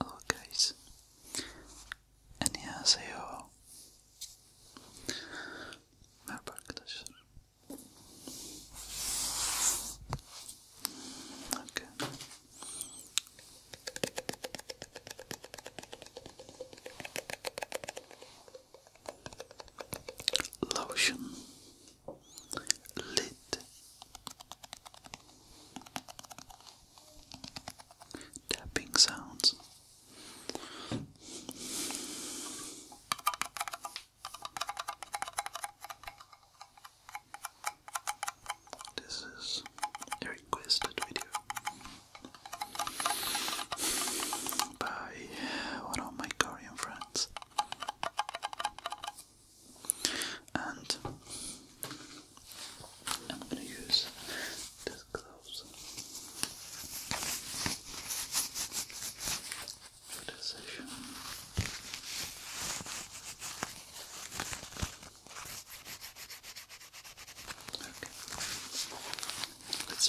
Hello oh, guys. 안녕하세요. Merhaba arkadaşlar. Okay. Lotion lid tapping sounds this is a requested video by one of my Korean friends and I'm going to use this gloves. For this session. Okay. Let's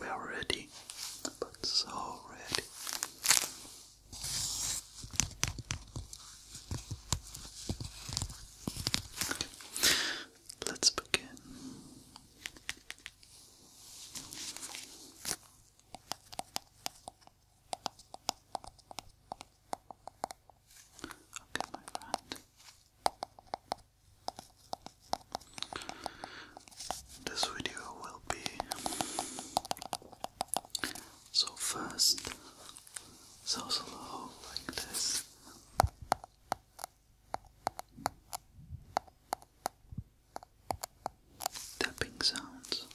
We are ready, but so ready. Let's begin. Okay, my friend. This video will be so fast, so slow like this. Tapping sounds.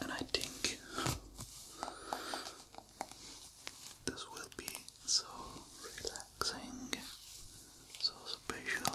And I think this will be so relaxing, so special.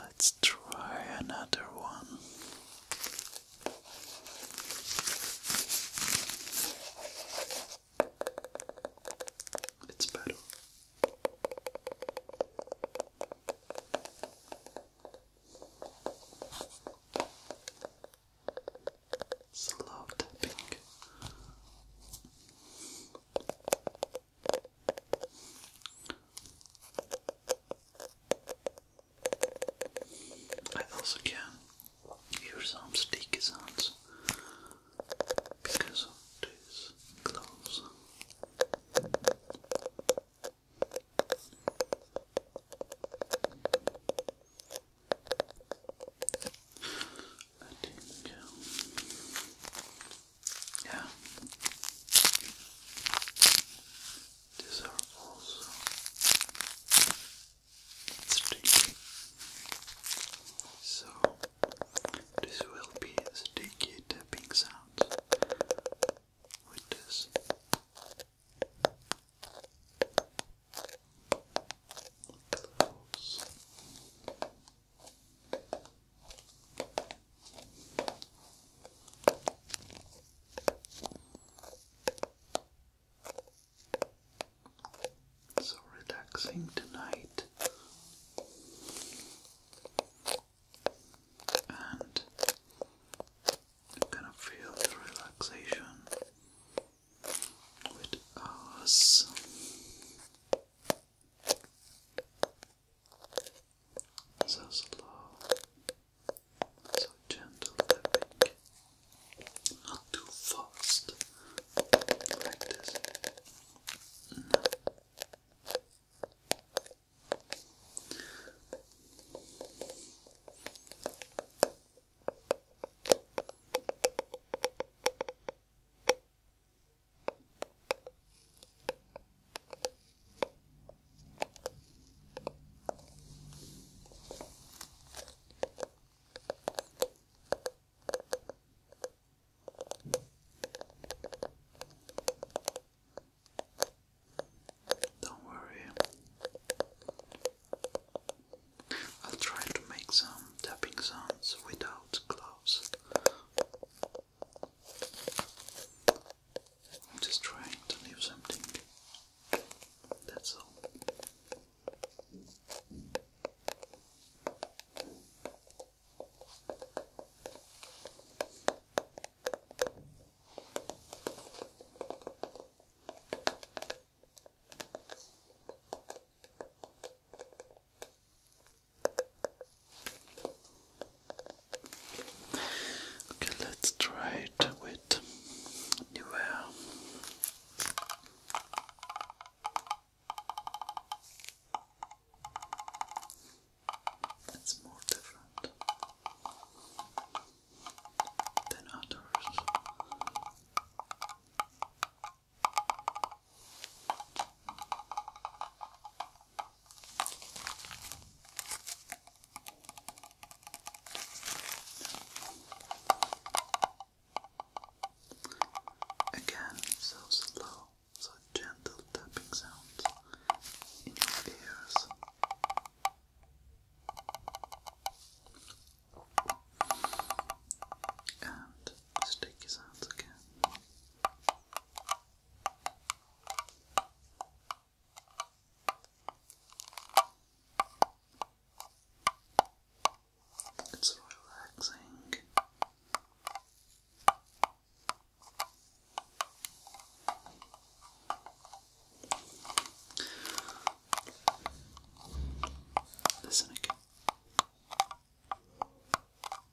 Let's try another one. It's better. Slow tapping. I also can use some sticky sounds because of these gloves. I think uh, yeah. These are also sticky. So this will be a sticky tapping sound with this. So relaxing tonight, and you kind of feel the relaxation with us so slow, so gentle tapping, not too fast, like this. Don't worry, I'll try to make some tapping sounds without gloves. I'm just trying to leave something. That's all. Okay, let's try it with new air. more different than others. Again, so slow, so gentle tapping sounds in your ears. And sticky sounds again. It's relaxing. Listen again.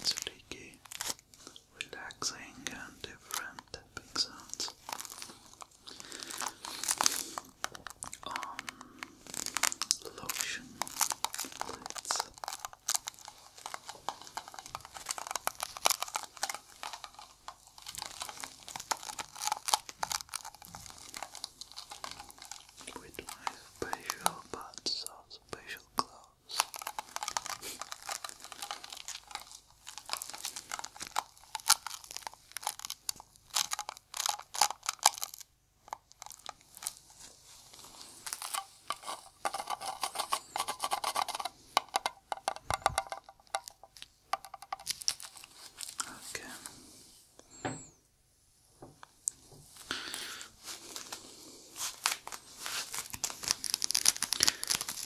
It's freaky, relaxing, and different tapping sounds. On um, lotion lids with my special but so special clothes. Okay.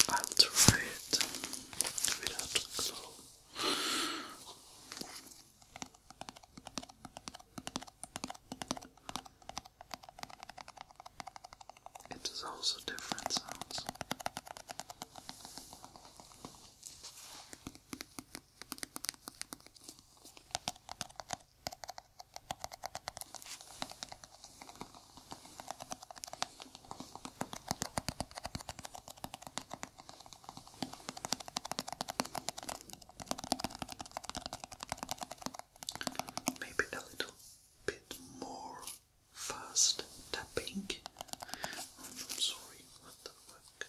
I'll try it without glow. It is also different sounds. Maybe a little bit more fast tapping. I'm sorry, what the fuck?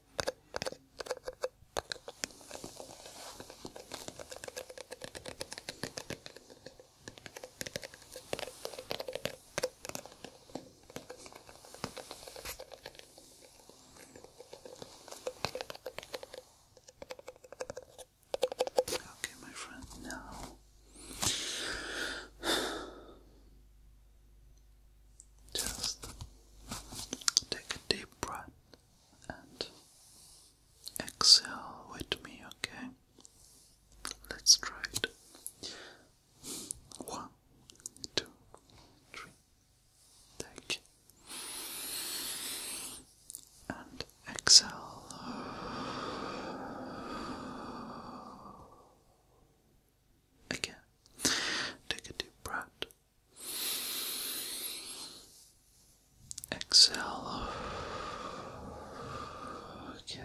Okay, my friend, now just take a deep breath and exhale with me, okay? Let's try it. One, two, three. Take and exhale. Again, take a deep breath Exhale. Okay.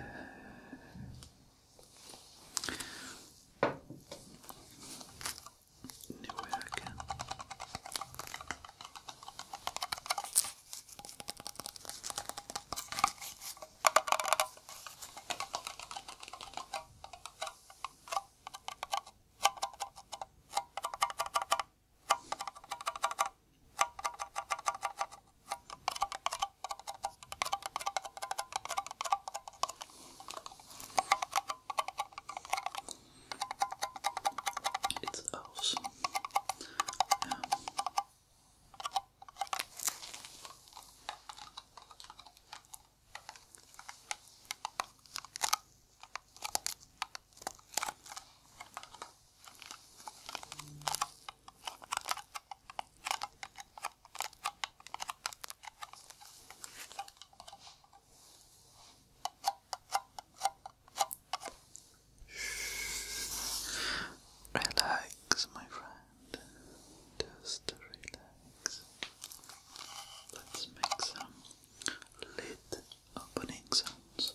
It's elves. Yeah. Relax, my friend. Just relax. Let's make some lid opening sounds.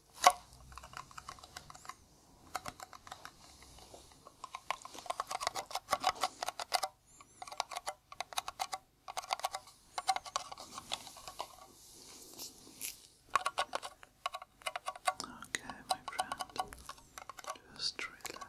Okay, my friend, just relax.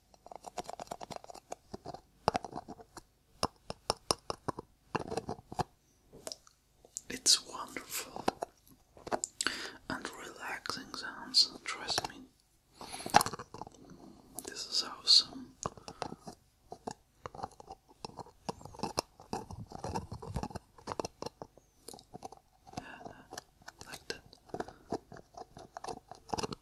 It's wonderful and relaxing sounds, trust me. This is awesome. like that.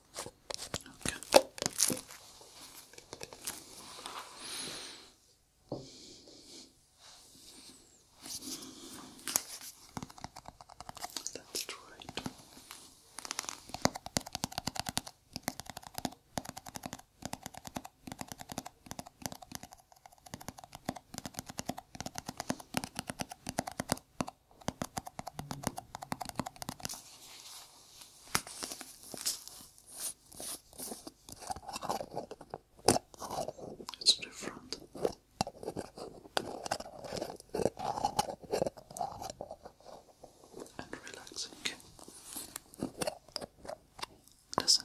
Okay. That's right. It's different. And relaxing, listen.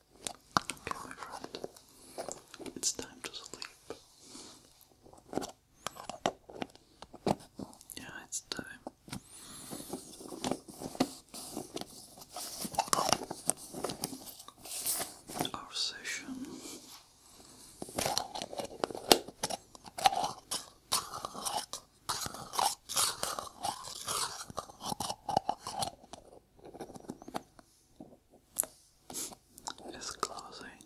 Okay, my friend, it's time to sleep. Yeah, it's time. Our session it's closing.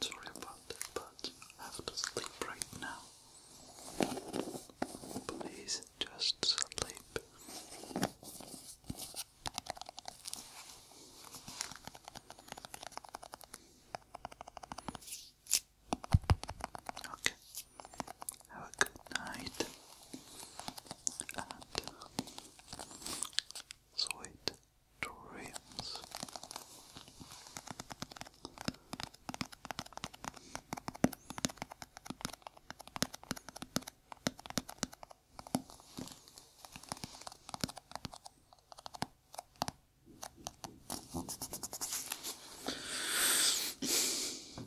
Sorry about that, but I have to sleep right now. Please just sleep. Okay. Have a good night sweet dreams.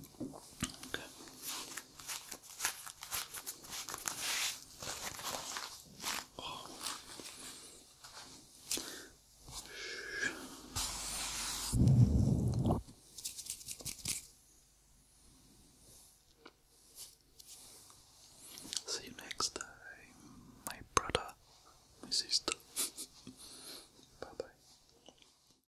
Okay. See you next time, my brother, my sister. bye bye.